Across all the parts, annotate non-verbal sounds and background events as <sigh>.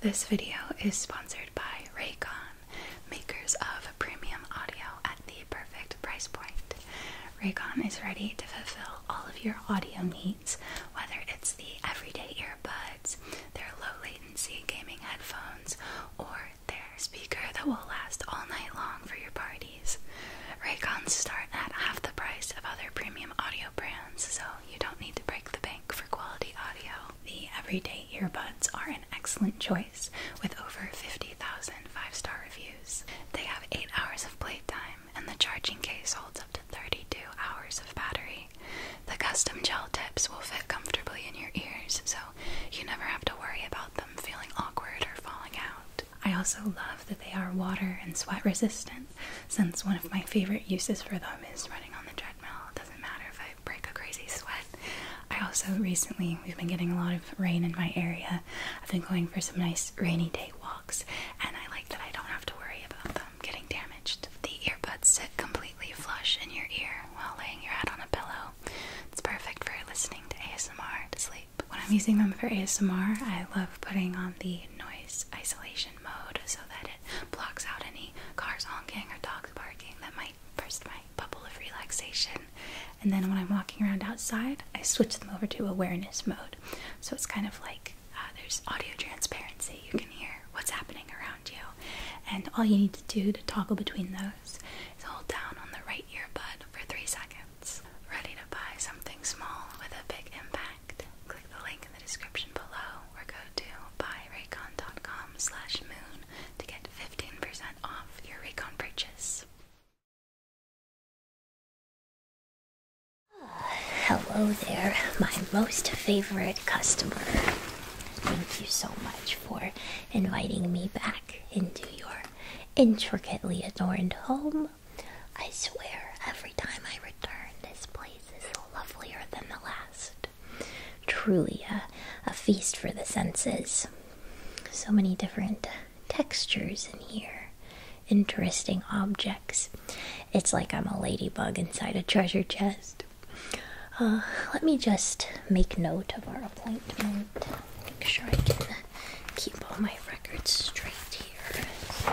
This video is sponsored by Raycon, makers of premium audio at the perfect price point. Raycon is ready to fulfill all of your audio needs, whether it's the everyday earbuds, their low latency gaming headphones, or their speaker that will last all night long for your parties. Raycons start at half the price of other premium audio brands, so you don't need to break the bank for quality audio. The everyday earbuds are an excellent choice with over 50,000 five star reviews. They have 8 hours of playtime and the charging case holds up to 32 hours of battery. The custom gel tips will fit comfortably in your ears so you never have to worry about them feeling awkward or falling out. I also love that they are water and sweat resistant since one of my favorite uses for them is running on the treadmill doesn't matter if I break a crazy sweat. I also recently, we've been getting a lot of rain in my area. I've been going for some nice rainy day walks, and I like that I don't have to worry about them getting damaged. The earbuds sit completely flush in your ear while laying your head on a pillow. It's perfect for listening to ASMR to sleep. When I'm using them for ASMR, I love putting on the noise isolation mode so that blocks out any cars honking or dogs barking that might burst my bubble of relaxation. And then when I'm walking around outside, I switch them over to awareness mode. So it's kind of like uh, there's audio transparency. You can hear what's happening around you. And all you need to do to toggle between those is hold down on the right earbud for three seconds. Ready to buy something small with a big impact click the link in the description below or go to buyraycon.com slash moon to get 15% off your Raycon purchase. Hello there, my most favorite customer. Thank you so much for inviting me back into your intricately adorned home. I swear, every time I return, this place this is lovelier than the last. Truly a, feast for the senses. So many different textures in here, interesting objects. It's like I'm a ladybug inside a treasure chest. Uh, let me just make note of our appointment. Make sure I can keep all my records straight here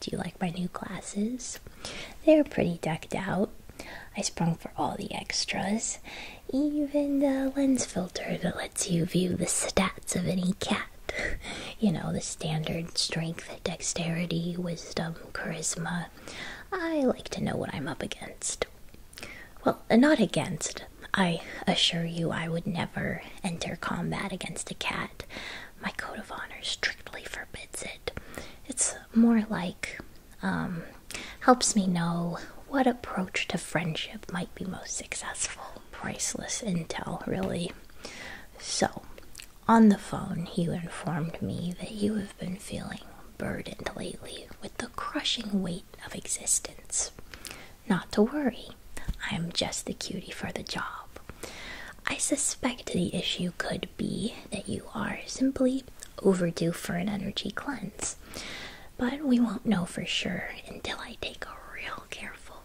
do you like my new glasses? They're pretty decked out. I sprung for all the extras, even the lens filter that lets you view the stats of any cat. <laughs> You know, the standard strength, dexterity, wisdom, charisma. I like to know what I'm up against. Well, not against. I assure you, I would never enter combat against a cat my code of honor strictly forbids it. It's more like um, helps me know what approach to friendship might be most successful. Priceless intel, really. So, on the phone, you informed me that you have been feeling burdened lately with the crushing weight of existence. Not to worry, I'm just the cutie for the job. I suspect the issue could be that you are simply overdue for an energy cleanse, but we won't know for sure until I take a real careful,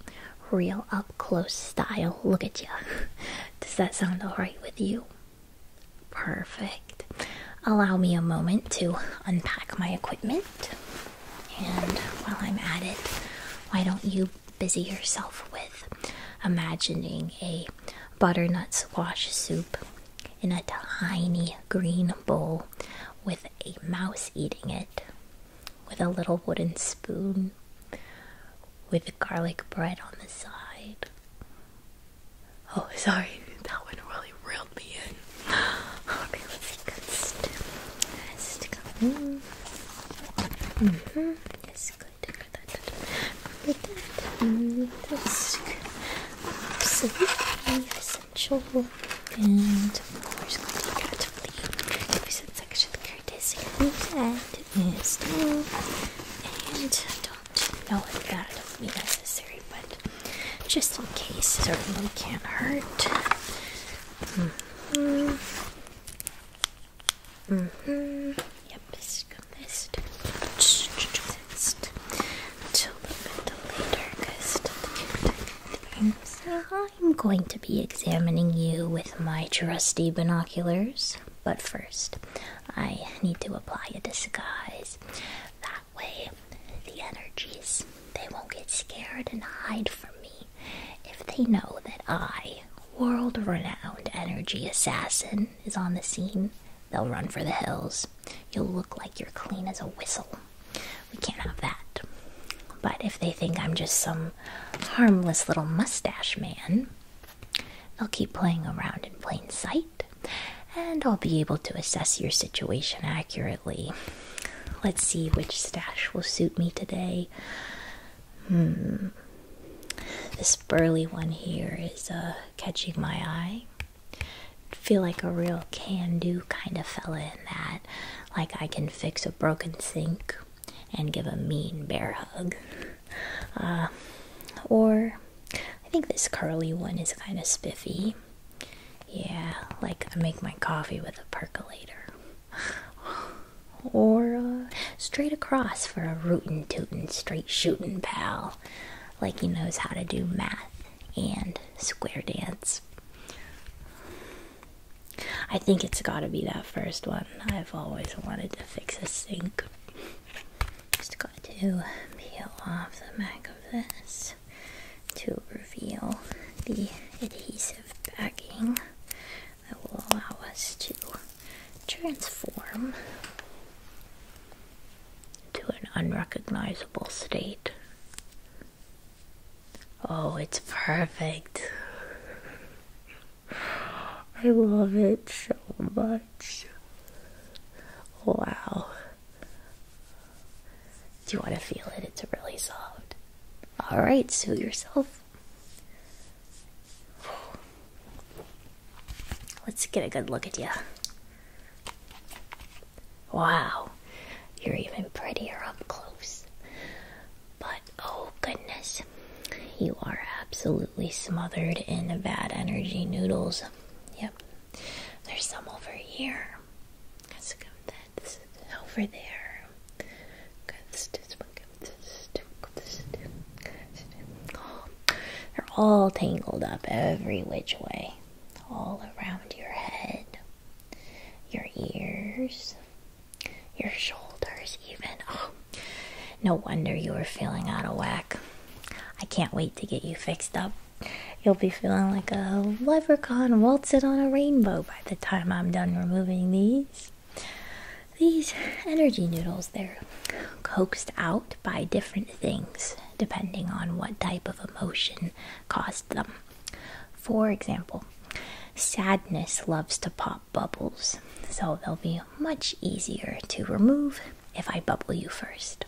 real up close style look at you. <laughs> Does that sound alright with you? Perfect. Allow me a moment to unpack my equipment. And while I'm at it, why don't you busy herself with imagining a butternut squash soup in a tiny green bowl with a mouse eating it, with a little wooden spoon, with garlic bread on the side. Oh, sorry, that one really reeled me in. <gasps> Okay, let's see. Good. Stick. Stick. Mm good. That. that. that's absolutely essential. And we're just going to carefully use that section courtesy and is And don't know if that'll be necessary, but just in case, certainly can't hurt. Mm-hmm. I'm going to be examining you with my trusty binoculars. But first, I need to apply a disguise. That way, the energies they won't get scared and hide from me if they know that I, world renowned energy assassin, is on the scene, they'll run for the hills. You'll look like you're clean as a whistle. We can't have that. But if they think I'm just some harmless little mustache man, they'll keep playing around in plain sight, and I'll be able to assess your situation accurately. Let's see which stash will suit me today. Hmm. This burly one here is uh, catching my eye. feel like a real can-do kind of fella in that. Like I can fix a broken sink and give a mean bear hug. Uh, or I think this curly one is kind of spiffy. Yeah, like I make my coffee with a percolator. <sighs> or uh, straight across for a rootin' tootin' straight shootin' pal like he knows how to do math and square dance. I think it's gotta be that first one. I've always wanted to fix a sink. Just got to peel off the back of this to reveal the adhesive backing that will allow us to transform to an unrecognizable state. Oh, it's perfect. I love it so much. Wow. Do you want to feel it? It's really soft. All right, suit yourself. Let's get a good look at you. Wow, you're even prettier up close. But oh goodness, you are absolutely smothered in bad energy noodles. Yep, there's some over here. That's a good. That's over there. they're all tangled up every which way, all around your head, your ears, your shoulders, even. Oh, <gasps> no wonder you were feeling out of whack. I can't wait to get you fixed up. You'll be feeling like a leprechaun waltzing on a rainbow by the time I'm done removing these. These energy noodles, they're coaxed out by different things depending on what type of emotion caused them. For example, sadness loves to pop bubbles, so they'll be much easier to remove if I bubble you first.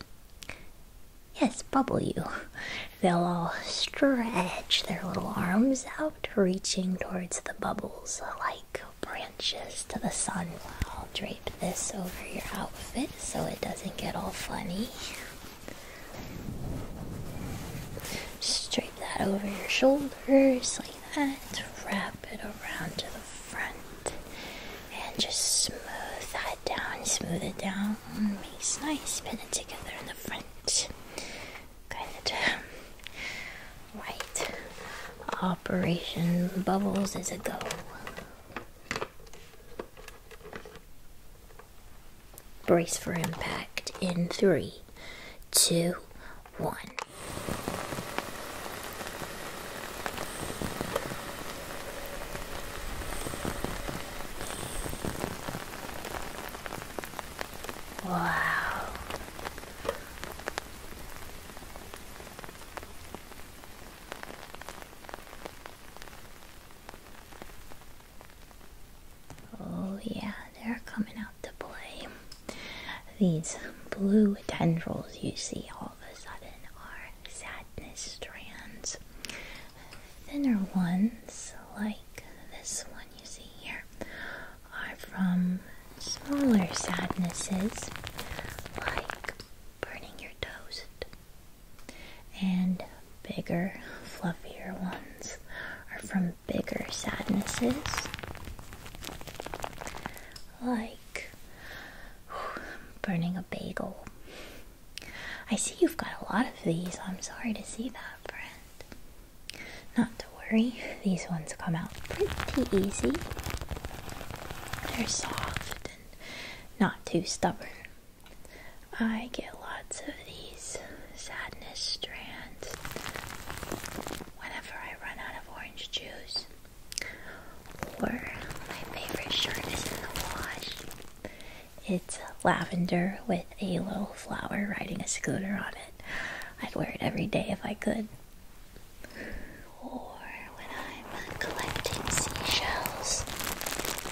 Yes, bubble you. They'll all stretch their little arms out, reaching towards the bubbles like branches to the sun. I'll drape this over your outfit so it doesn't get all funny. Just drape that over your shoulders like that. Wrap it around to the front and just smooth that down. Smooth it down. Makes nice. Pin it together in the front. Good. Right. Operation Bubbles is a go. Brace for impact in three, two, one. Wow. Oh, yeah, they're coming out to play. These blue tendrils you see all of a sudden are sadness strands thinner ones, like this one you see here, are from smaller sadnesses, like burning your toast. And bigger, fluffier ones are from bigger sadnesses, like <sighs> burning a bagel. I see you've got a lot of these. I'm sorry to see that, friend. Not to worry, these ones come out pretty easy. They're soft and not too stubborn. I get lots of these sadness strands whenever I run out of orange juice. Or my favorite shirt is in the wash it's lavender with a little flower riding a scooter on it. I'd wear it every day if I could. Or when I'm collecting seashells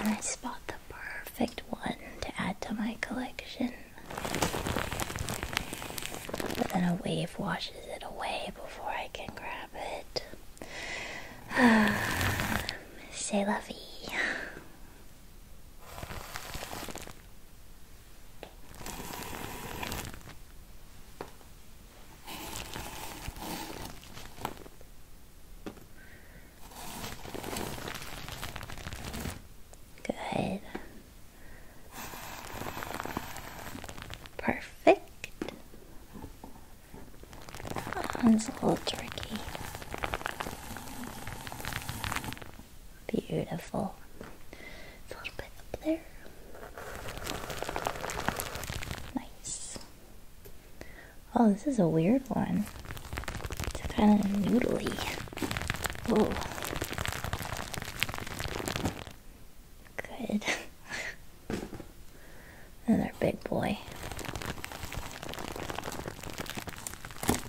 and I spot the perfect one to add to my collection. But then a wave washes it away before I can grab it. C'est <sighs> la Good. Perfect. That one's a little tricky. Beautiful. a little bit up there. Nice. Oh, this is a weird one. It's kind of noodly. Oh. Good. <laughs> Another big boy.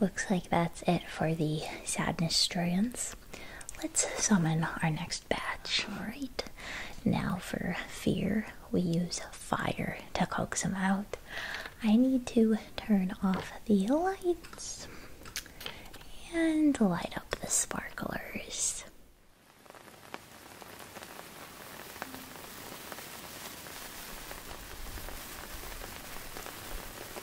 Looks like that's it for the sadness stroyance. Let's summon our next batch. Alright, now for fear, we use fire to coax them out. I need to turn off the lights and light up the sparklers.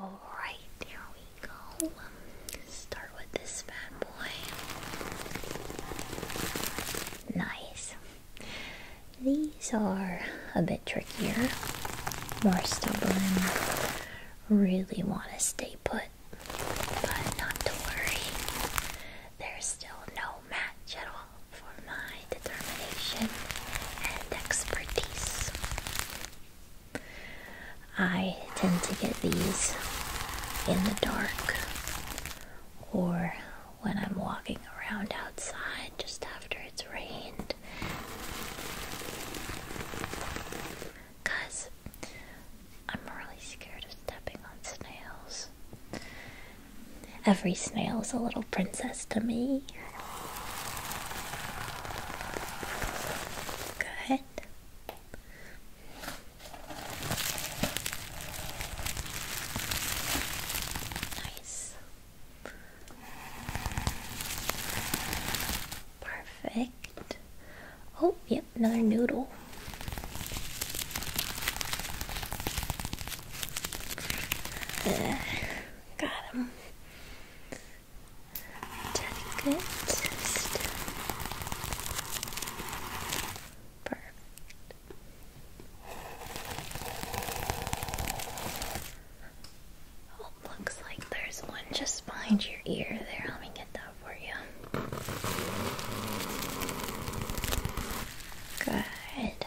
All right, here we go. start with this bad boy. Nice. These are a bit trickier, more stubborn. Really want to stay put, but not to worry. There's still no match at all for my determination and expertise. I tend to get these in the dark or when I'm walking around outside just after it's rained. Because I'm really scared of stepping on snails. Every snail is a little princess to me. Good. Nice. Perfect. Oh, yep, another noodle. got him delicate system. Perfect. Oh, looks like there's one just behind your ear there. Let me get that for you. Good.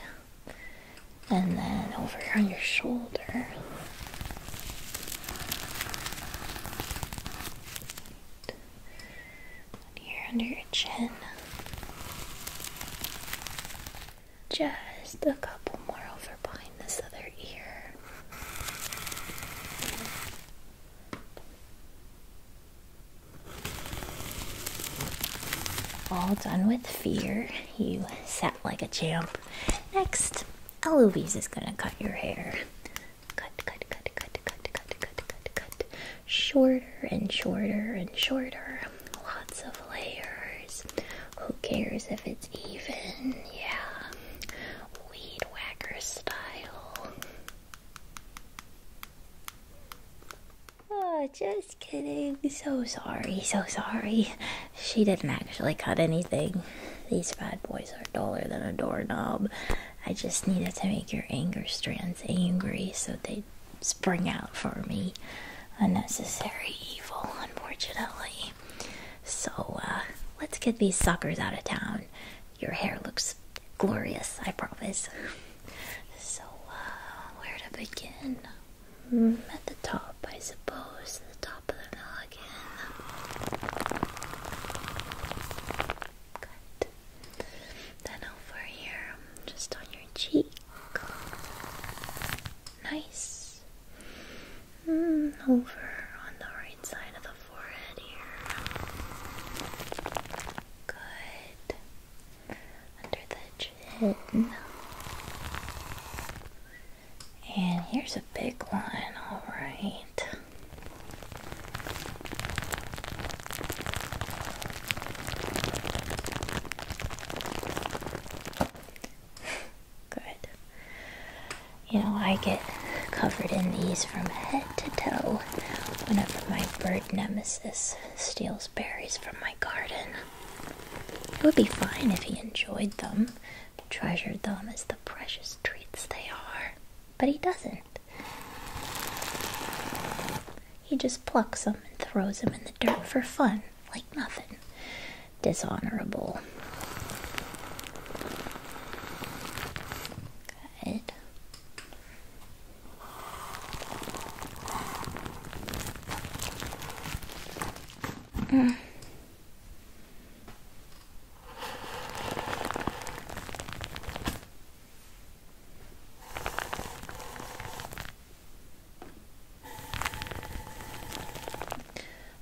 And then over here on your shoulder here under your chin. Just a couple more over behind this other ear. All done with fear. You sat like a champ. Next, Eloise is gonna cut your hair cut, cut, cut, cut, cut, cut, cut, cut, cut. Shorter and shorter and shorter. Lots of layers. Who cares if it's even? Yeah. Weed whacker style. Oh, just kidding. So sorry, so sorry. She didn't actually cut anything. These bad boys are duller than a doorknob. I just needed to make your anger strands angry so they would spring out for me. Unnecessary evil, unfortunately. So, uh, let's get these suckers out of town. Your hair looks glorious, I promise. So, uh, where to begin? Hmm, at the top, I suppose. The top of the then over here, just on your cheek. Nice. Mm, over on the right side of the forehead here. Good. Under the chin. And here's a big one, all right. Good. You know, I get covered in these from head to toe whenever my bird nemesis steals berries from my garden. It would be fine if he enjoyed them, treasure them as the precious treats they are. But he doesn't. He just plucks them and throws them in the dirt for fun, like nothing. Dishonorable. Good. Mm.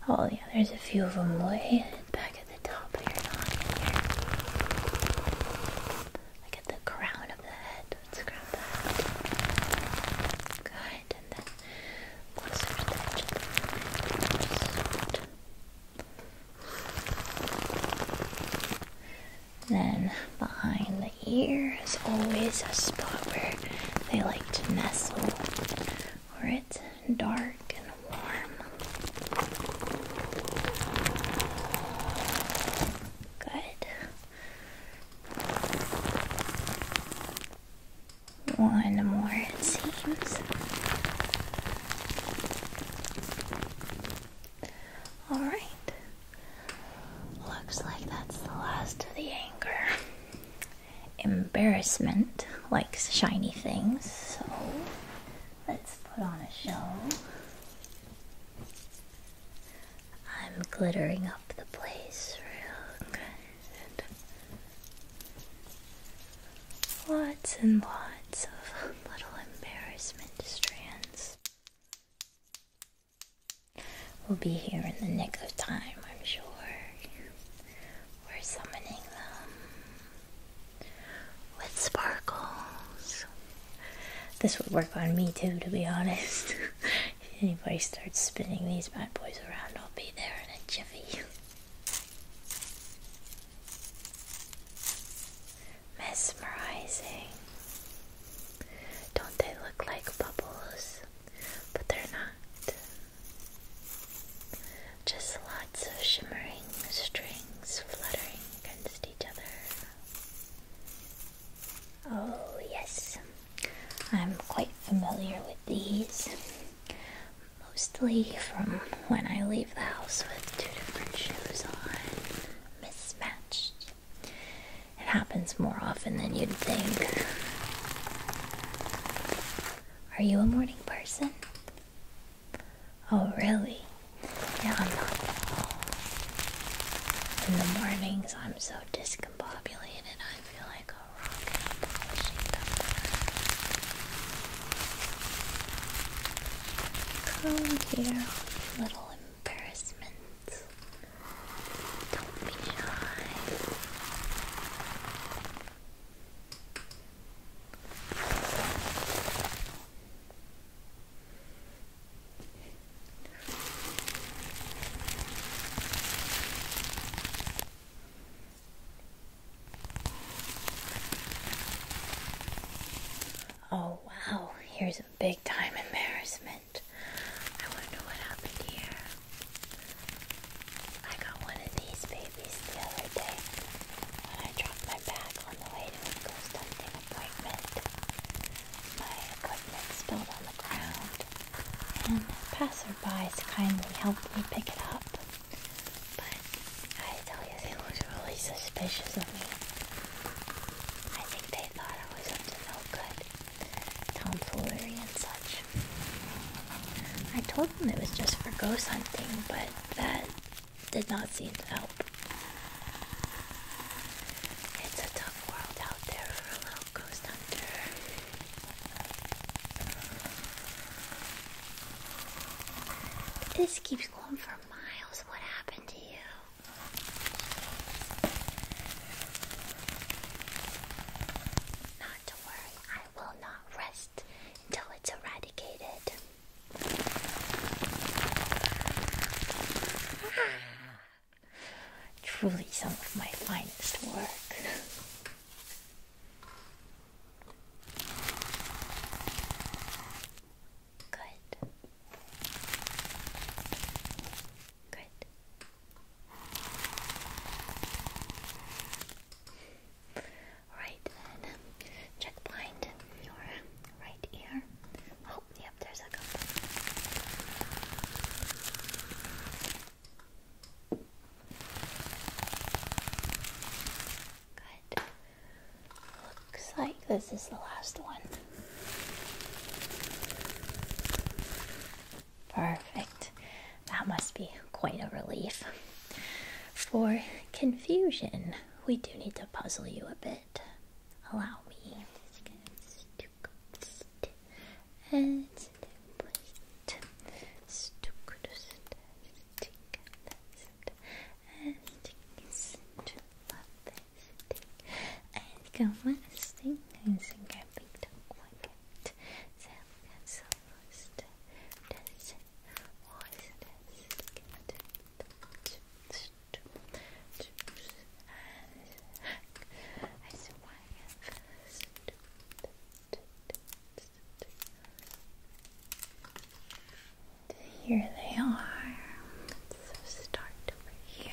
Oh yeah, there's a few of them way back at the top here, not here. Like at the crown of the head. Let's grab that. Good, and then closer to the edge then behind the ear is always a spot where they like to nestle, where it's dark and warm. Good. One more, it seems. Alright. Looks like that's the last of the anger. Embarrassment likes shiny things, so let's put on a show. I'm glittering up the place real good. Lots and lots of <laughs> little embarrassment strands. We'll be here in the nick of time, I'm sure. We're summoning them with sparkles. This would work on me too, to be honest. <laughs> if anybody starts spinning these bad boys around, I'll be there in a jiffy. Mesmerizing. Don't they look like bubbles? But they're not. Just lots of shimmering strings fluttering against each other. Oh, yes. I'm quite familiar with these mostly from when I leave the house with two different shoes on, mismatched. It happens more often than you'd think. Are you a morning person? Oh, really? Yeah, I'm not. In the mornings, I'm so discombobulated. I feel like Come here, little embarrassment. Don't be shy. Oh, wow, here's a big time embarrassment. I wonder what happened here. I got one of these babies the other day and I dropped my bag on the way to a ghost hunting appointment. My equipment spilled on the ground, and the passersby kindly helped me pick it up. But I tell you, they was really suspicious of me. I think they thought I was up to no good, tomfoolery and such. I told them it was just for ghost hunting, but that did not seem to help. It's a tough world out there for a little ghost hunter. This keeps going for miles. What happened to you? Not to worry, I will not rest until it's eradicated. Ah. Truly, some of my finest work. Good. Good. Right check blind your right ear. Oh, yep, there's a couple. Looks like this is the last one. Perfect. That must be quite a relief. For confusion, we do need to puzzle you a bit. Allow me. Heads the plate. Stuck to stick left and stick left stick. And come on stick and think I picked up one cat. Then that's first that's was that's and I said why first here they are. So start here.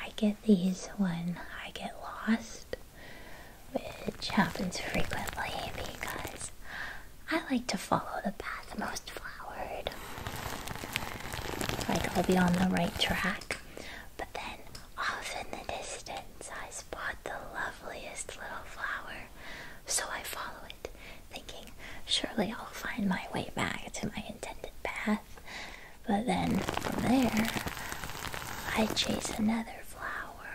I get these when I get lost which happens frequently because I like to follow the path most flowered. Like I'll be on the right track, but then off in the distance I spot the loveliest little flower, so I follow it, thinking surely I'll find my way back to my intended path. But then from there, I chase another flower,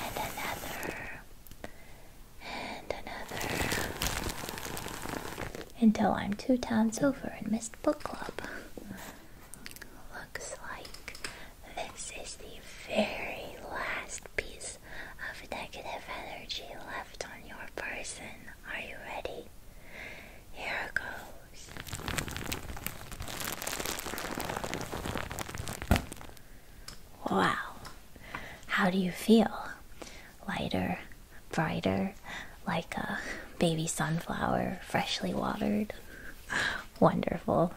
and another, and another, until I'm two towns over and missed book club. Looks like this is the very last piece of negative energy left on your person. Are you ready? Here goes. Wow. How do you feel? Lighter, brighter, like a baby sunflower, freshly watered. Wonderful.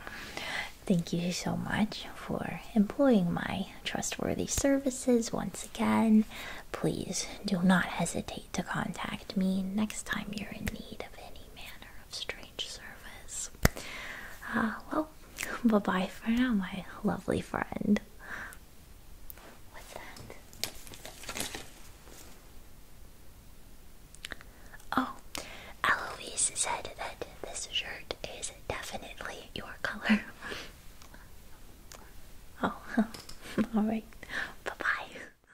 Thank you so much for employing my trustworthy services once again. Please do not hesitate to contact me next time you're in need of any manner of strange service. Uh, well, <laughs> bye bye for now, my lovely friend. What's that? Oh, Eloise said that this shirt is definitely your color. <laughs> Oh, <laughs> alright. Bye bye.